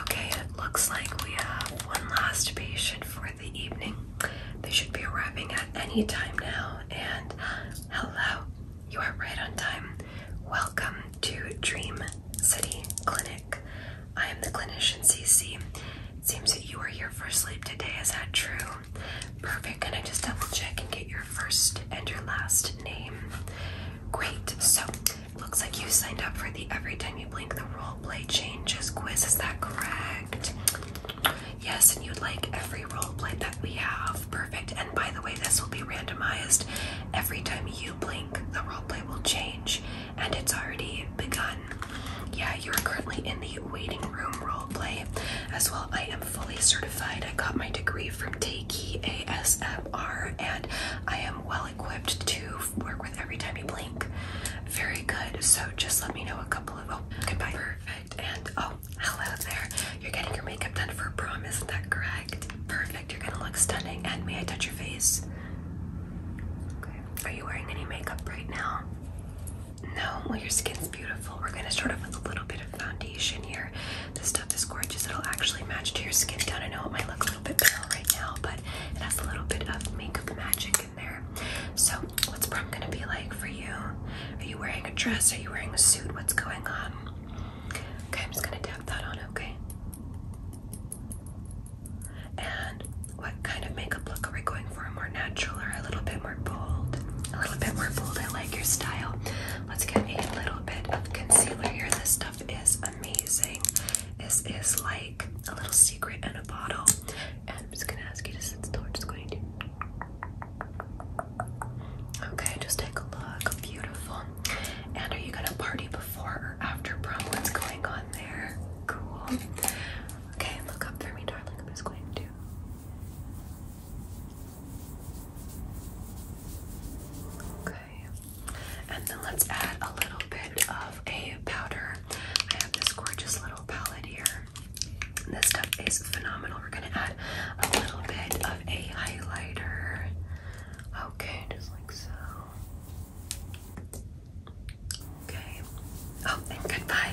Okay, it looks like we have one last patient for the evening. They should be arriving at any time now. And hello, you are right on time. Welcome to Dream City Clinic. I am the clinician CC. seems that you are here for sleep today. Is that true? Perfect. Can I just double check and get your first and your last name? Great. So Looks like you signed up for the every time you blink the role play changes quiz. Is that correct? Yes, and you'd like every role play that we have. Perfect. And by the way, this will be randomized. Every time you blink, the role play will change, and it's already begun. Yeah, you are currently in the waiting room role play. As well, I am fully certified. I got my degree from Takey and I am well equipped to work with every time you blink. Very good. So just let me know a couple of. Oh, goodbye. Perfect. And oh, hello there. You're getting your makeup done for a prom, isn't that correct? Perfect. You're gonna look stunning. And may I touch your face? Okay. Are you wearing any makeup right now? No. Well, your skin's beautiful. We're gonna start off with a little bit of foundation here this stuff is gorgeous. It'll actually match to your skin tone. I know it might look a little bit pale right now, but it has a little bit of makeup magic in there. So, what's prom gonna be like for you? Are you wearing a dress? Are you wearing a suit? What's going on? Okay, I'm just gonna dab that on, okay? And what kind of makeup look are we going for? More natural or a little bit more bold? A little bit more bold. I like your style. Let's get a little bit of concealer here. This stuff is amazing. This is like a little secret in a bottle. And I'm just gonna ask you to sit still. We're just going to. Okay, just take a look. Beautiful. And are you gonna party before or after prom? What's going on there? Cool. Okay, look up for me, darling. I'm just going to. Okay. And then let's add a little bit of a powder. I have this gorgeous little palette here. This stuff is phenomenal. We're gonna add a little bit of a highlighter. Okay, just like so. Okay. Oh, and goodbye.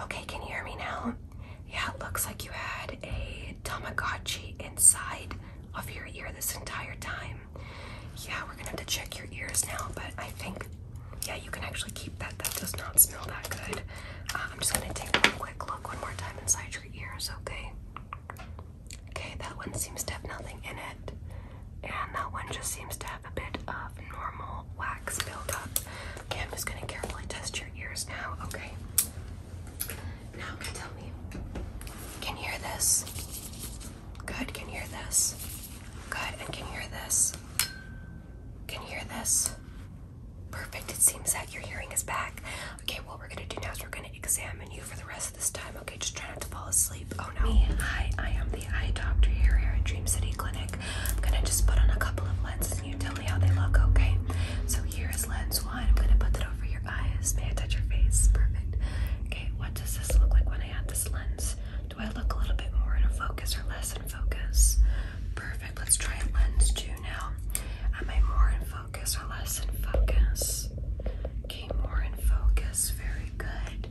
Okay, can you hear me now? Yeah, it looks like you had a Tamagotchi inside of your ear this entire time. Yeah, we're gonna have to check your ears now, but I think, yeah, you can actually keep that. That does not smell that good. Uh, I'm just gonna take one quick look one more time inside your ears, okay? Okay, that one seems to have nothing in it and that one just seems to have a bit of normal wax buildup. Okay, I'm just gonna carefully test your ears now. Okay. Now can you tell me. Can you hear this? Good. Can you hear this? Good. And can you hear this? Can you hear this? Perfect. It seems that your hearing is back. Okay, what we're gonna do now is we're gonna examine you for the rest of this time, Okay just try to fall asleep. Oh no. hi, I am the eye doctor here at Dream City Clinic. I'm gonna just put on a couple of lenses and you tell me how they look, okay? So here is lens one. I'm gonna put that over your eyes. May I touch your face? Perfect. Okay, what does this look like when I add this lens? Do I look a little bit more in focus or less in focus? Perfect. Let's try lens two now. Am I more in focus or less in focus? Okay, more in focus. Very good.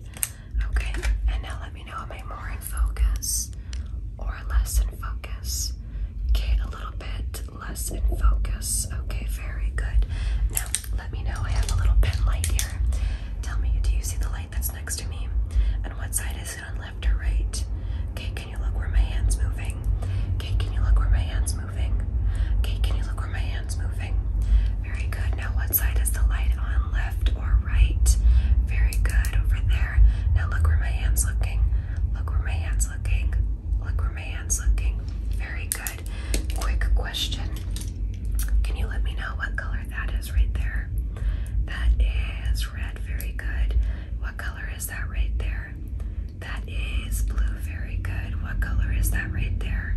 Okay, and now let me know am I more in focus or less in focus? Okay, a little bit less in focus. Okay, very good. Now let me know I have a little pen light here. Tell me, do you see the light that's next to me? And what side is it on left or right? Okay, can you look where my hand's moving? Okay, can you look where my hand's moving? Okay, can you look were my hands moving? Very good. Now, what side is the light on, left or right? Very good. Over there. Now, look where my hand's looking. Look where my hand's looking. Look where my hand's looking. Very good. Quick question. Can you let me know what color that is right there? That is red. Very good. What color is that right there? That is blue. Very good. What color is that right there?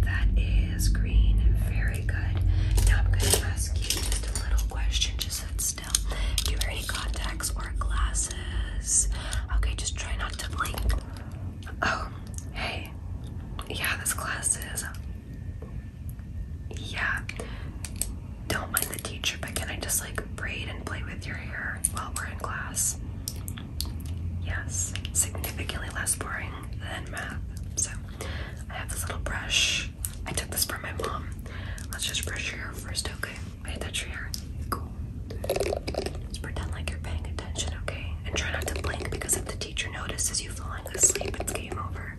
That is green. Very good. Now I'm going to ask you just a little question. Just sit still. Do you have any contacts or glasses? Okay, just try not to blink. Oh, hey. Yeah, this class is. Yeah. Don't mind the teacher, but can I just like braid and play with your hair while we're in class? Yes. Significantly less boring than math. So I have this little brush. I took this from my mom. Let's just brush your hair first, okay? I touch your hair. Cool. Just pretend like you're paying attention, okay? And try not to blink because if the teacher notices you falling asleep, it's game over.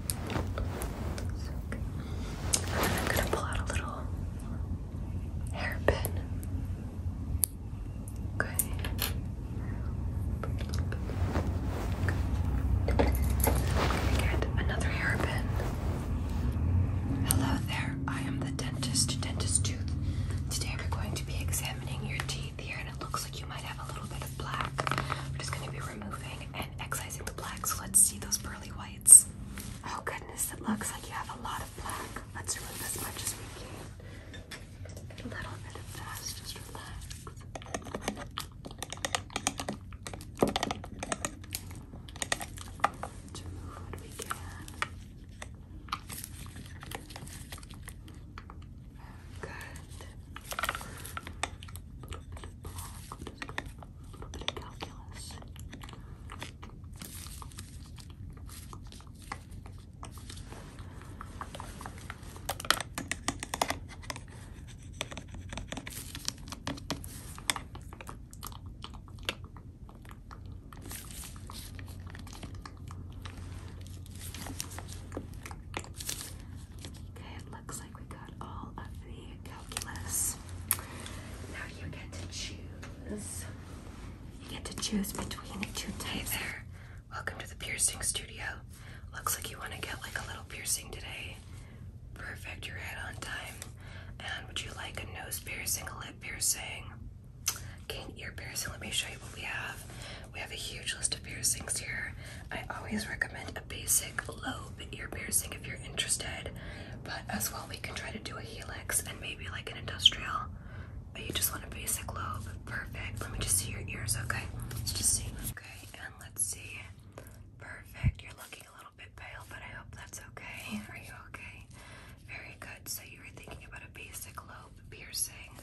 I'm gonna pull out a little hairpin. Okay. okay. I'm going get another hairpin. Hello there. I am the dentist, dentist tooth. Today we're going to be examining your teeth here, and it looks like you might have a little bit of black. We're just gonna be removing and the black. let's see those pearly whites. Oh goodness, it looks like you have a lot of black. Let's remove as much as we can. A little bit of that, just relax. let remove what we can. Good a little bit of calculus. Okay, looks like we got all of the calculus. Now you get to choose. You get to choose between two types. there. Welcome to the piercing studio. Looks like you want to get like a little piercing today. Perfect, you're right on time. And would you like a nose piercing, a lip piercing? Okay, ear piercing. Let me show you what we have. We have a huge list of piercings here. I always recommend a basic lobe ear piercing if you're interested, but as well, we can try to do a helix and maybe like an industrial. But you just want a basic lobe. Perfect. Let me just see your ears, okay? Let's just see. Okay, and let's see. Perfect. You're looking a little bit pale, but I hope that's okay. Are you okay? Very good. So you were thinking about a basic lobe piercing.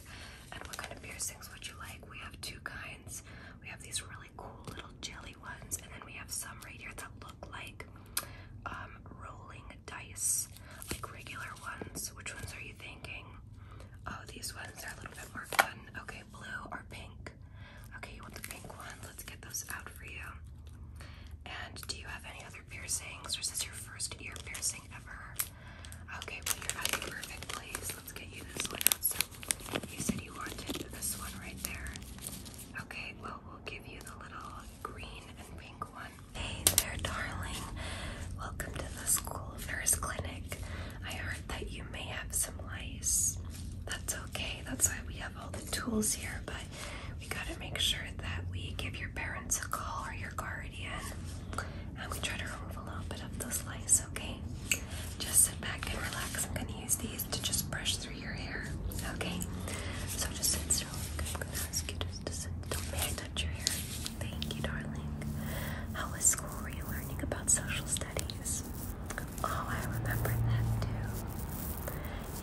And what kind of piercings would you like? We have two kinds. We have these really cool little jelly and then we have some right here that look like um, rolling dice, like regular ones. Which ones are you thinking? Oh, these ones are a little bit more fun. Okay, blue or pink? Okay, you want the pink one? Let's get those out for you. And do you have any other piercings, or is this your first ear piercing ever? Okay, well, you're at the perfect place. Let's get you this one you said you wanted this one right there. Okay, well, we'll give you the little green and pink one. Hey there, darling. Welcome to the school nurse clinic. I heard that you may have some lice. That's okay. That's why we have all the tools here, but we gotta make sure that we give your parents a call or your guardian. And we try to a little bit of the slice, okay? Just sit back and relax. I'm gonna use these to just brush through your hair, okay? So just sit still. I'm gonna ask you just to sit Don't May I touch your hair? Thank you, darling. How was school? Were you learning about social studies? Oh, I remember that too.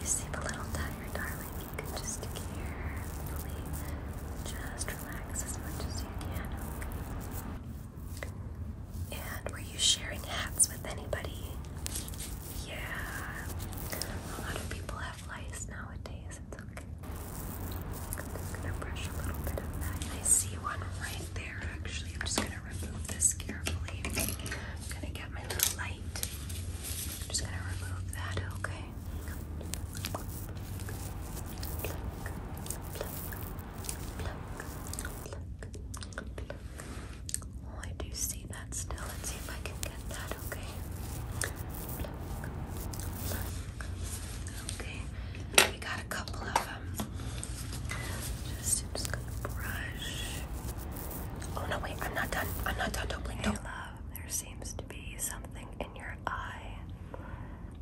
You seem a little tired, darling. You can just carefully just relax as much as you can, okay? And were you sharing hats with anybody? Yeah. A lot of people have lice nowadays. It's okay. I'm gonna brush a little bit of that. I see one right there actually. I'm just gonna remove this carefully. I'm gonna get my little light. I'm just gonna remove that, okay? Oh, I do see that still. Let's see if I can get that, okay? Okay, we got a couple of them. Um, just, just gonna brush. Oh no, wait, I'm not done. I'm not done. Don't blink. Don't. love, there seems to be something in your eye.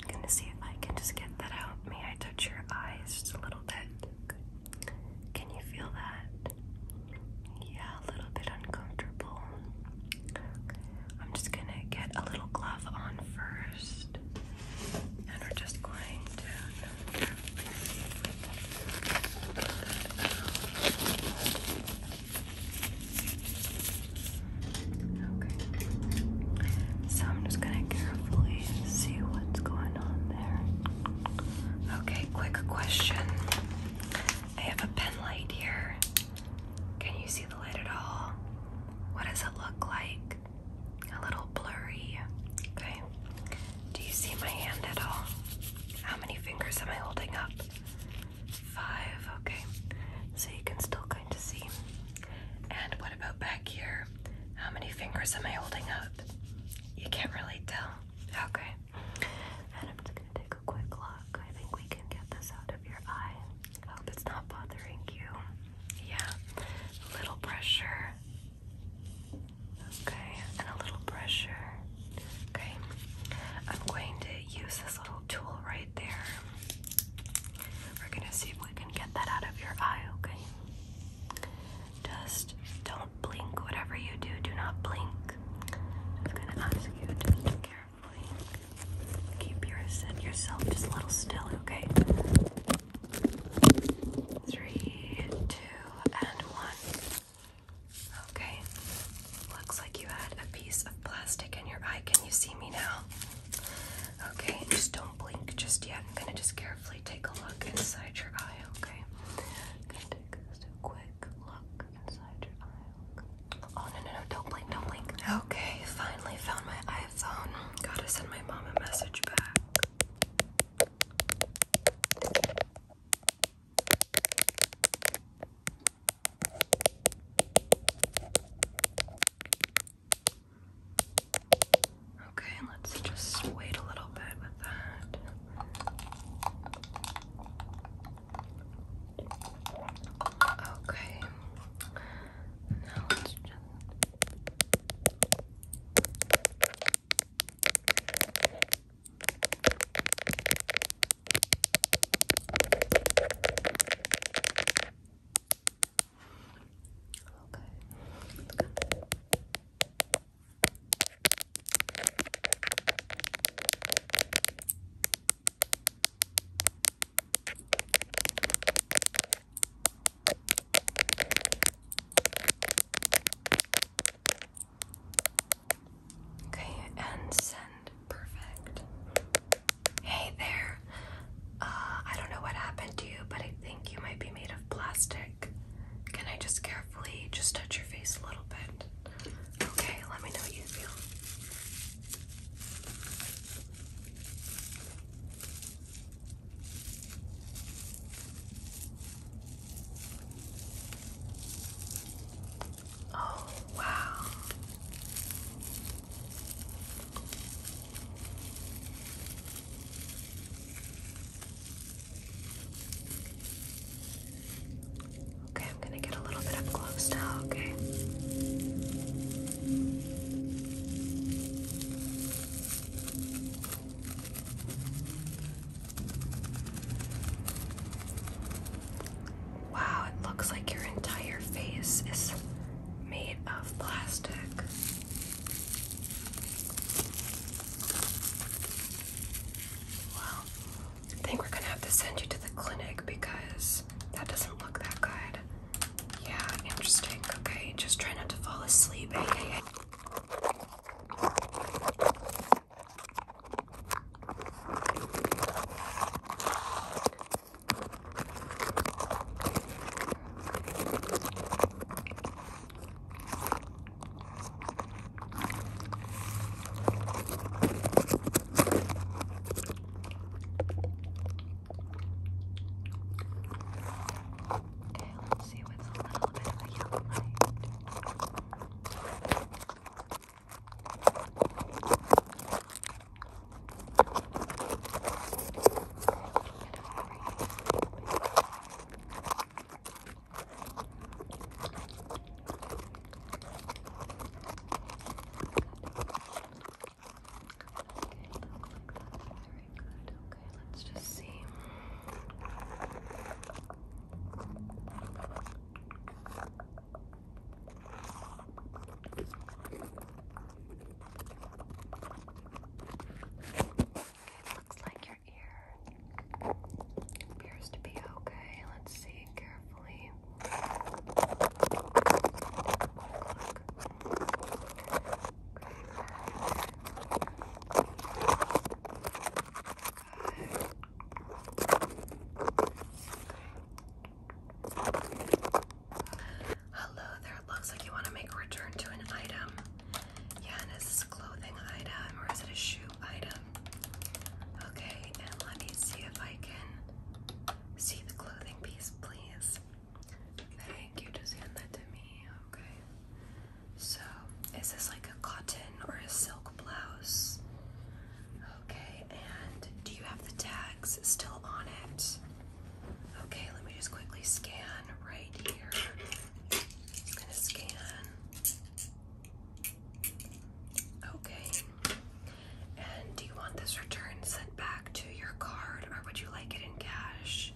I'm gonna see if I can just get that out. May I touch your eyes just a little bit? Can you feel that? Yeah, a little bit uncomfortable. I'm just gonna get a little glove on first, and we're just going to. Okay. So I'm just gonna carefully see what's going on there. Okay, quick question. I have a pen light here. Can you see the light at all? What does it look like? A little blurry. Okay. Do you see my hand at all? How many fingers am I holding up? Five. Okay. So you can still kind of see. And what about back here? How many fingers am I holding up? You can't really tell. Okay. And I'm just gonna take a quick look. I think we can get this out of your eye. I hope it's not bothering you. Yeah. A little pressure. Okay, and a little pressure. Okay. I'm going to use this little tool right there. We're gonna see if we can get that out of your eye, okay? Just don't blink. Whatever you do, do not blink. Just gonna ask you to carefully keep yourself just a little still, okay? Three, two, and one. Okay. Looks like you had a piece of plastic in your eye. Can you see me now? Okay, just don't blink just yet. I'm gonna just carefully take a look inside your eye, okay? gonna take a quick look inside your eye. Oh no no no, don't blink, don't blink. Okay, finally found my iPhone. Gotta send my mom a message back. Okay, let's just wait a little bit with that. Okay. Now let's just Okay. let Okay, and send perfect. Hey there. Uh, I don't know what happened to you, but I think you might be made of plastic. Can I just carefully just touch your face a little bit? Okay, let me know what you feel. Oh, wow. Okay, I'm gonna get a little bit up close now, okay? Wow, it looks like your entire face is made of plastic. Well, I think we're gonna have to send you to the clinic because that doesn't look that good. Yeah, interesting. Okay, just try not to fall asleep. Okay, let's see what's a little bit of a yellow light. Okay, let's just see. Okay, looks like your ear appears to be okay. Let's see carefully. Hello there. It Looks like you want to make a return to an item. Yeah, and is this a clothing item or is it a shoe item? Okay, and let me see if I can see the clothing piece, please. Thank you. Just hand that to me. Okay. So, is this like a cotton or a silk blouse? Okay, and do you have the tags still on it? Okay, let me just quickly scan right here. just gonna scan. Okay. And do you want this return sent back to your card or would you like it in cash?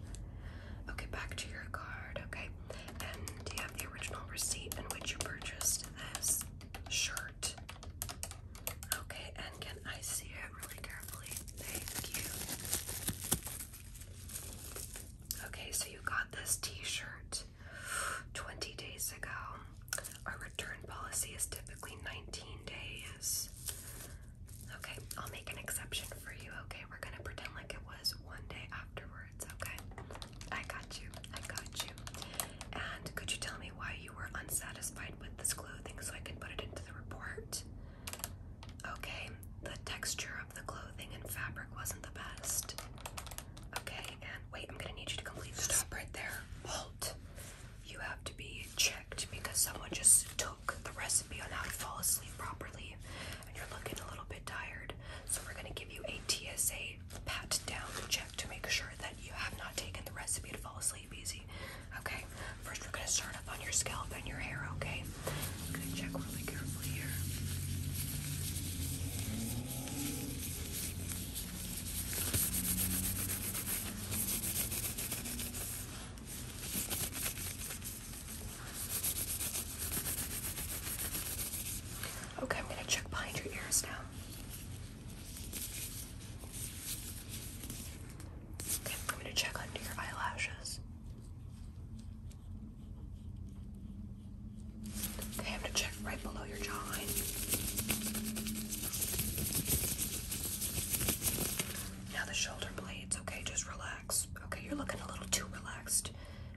Okay, back to your card, okay. And do you have the original receipt in which you purchased this shirt? Okay, and can I see it really carefully? Thank you. Okay, so you got this t shirt 20 days ago. Our return policy is typically 19 days. Okay, I'll make an exception for you. Okay, we're gonna pretend like it was one day afterwards. Okay, I got you. I got you. And could you tell me why you were unsatisfied with this clothing so I can put it into the report. Okay, the texture of the clothing and fabric wasn't the best. Okay, and wait, I'm gonna need you to complete. Stop right there. Halt. You have to be checked because someone just took the recipe on how to fall asleep properly, and you're looking a little bit tired. So we're gonna give you a TSA pat down check to make sure that you have not taken the recipe to fall asleep easy. Okay, first we're going to start up on your scalp and your hair, okay? Okay, I'm going to check behind your ears now. Okay, I'm going to check under your eyelashes. I'm to check right below your jawline. Now the shoulder blades. Okay, just relax. Okay, you're looking a little too relaxed.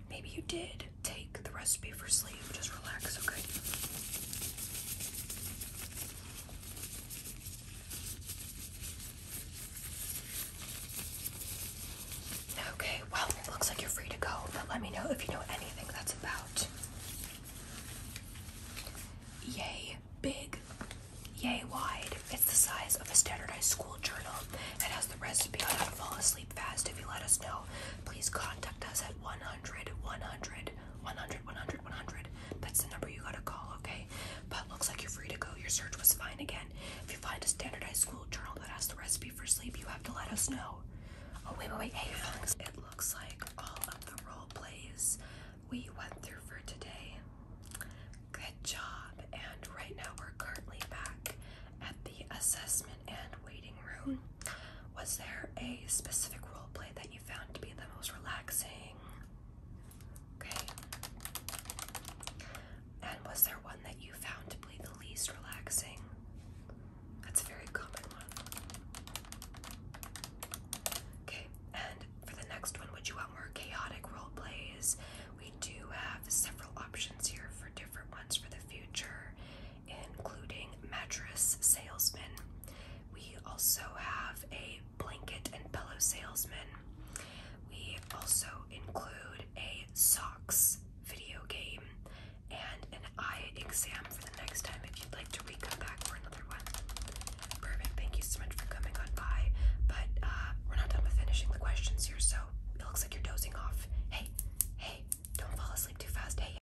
Maybe you did take the recipe for sleep. Just relax, okay? Okay, well, it looks like you're free to go, but let me know if you know anything that's about. Yay big, yay wide. It's the size of a standardized school journal It has the recipe on how to fall asleep fast. If you let us know, please contact us at 100 100 100 100, That's the number you gotta call, okay? But looks like you're free to go. Your search was fine again. If you find a standardized school journal that has the recipe for sleep, you have to let us know. Oh, wait, wait, wait. Hey, Fox. It looks like all of the role plays we went through for today. Good job. And right now we're currently back at the assessment and waiting room. Was there a specific role play that you found to be the most relaxing? Okay. And was there one that you found to be the least relaxing? That's a very common one. Okay, and for the next one, would you want more chaotic role plays? We do have several options here for different ones for the future including mattress salesman, We also have a blanket and pillow salesman. We also include a socks video game and an eye exam for the next time if you'd like to re come back for another one. Perfect, thank you so much for coming on by. But uh, we're not done with finishing the questions here, so it looks like you're dozing off. Hey, hey, don't fall asleep too fast. Hey.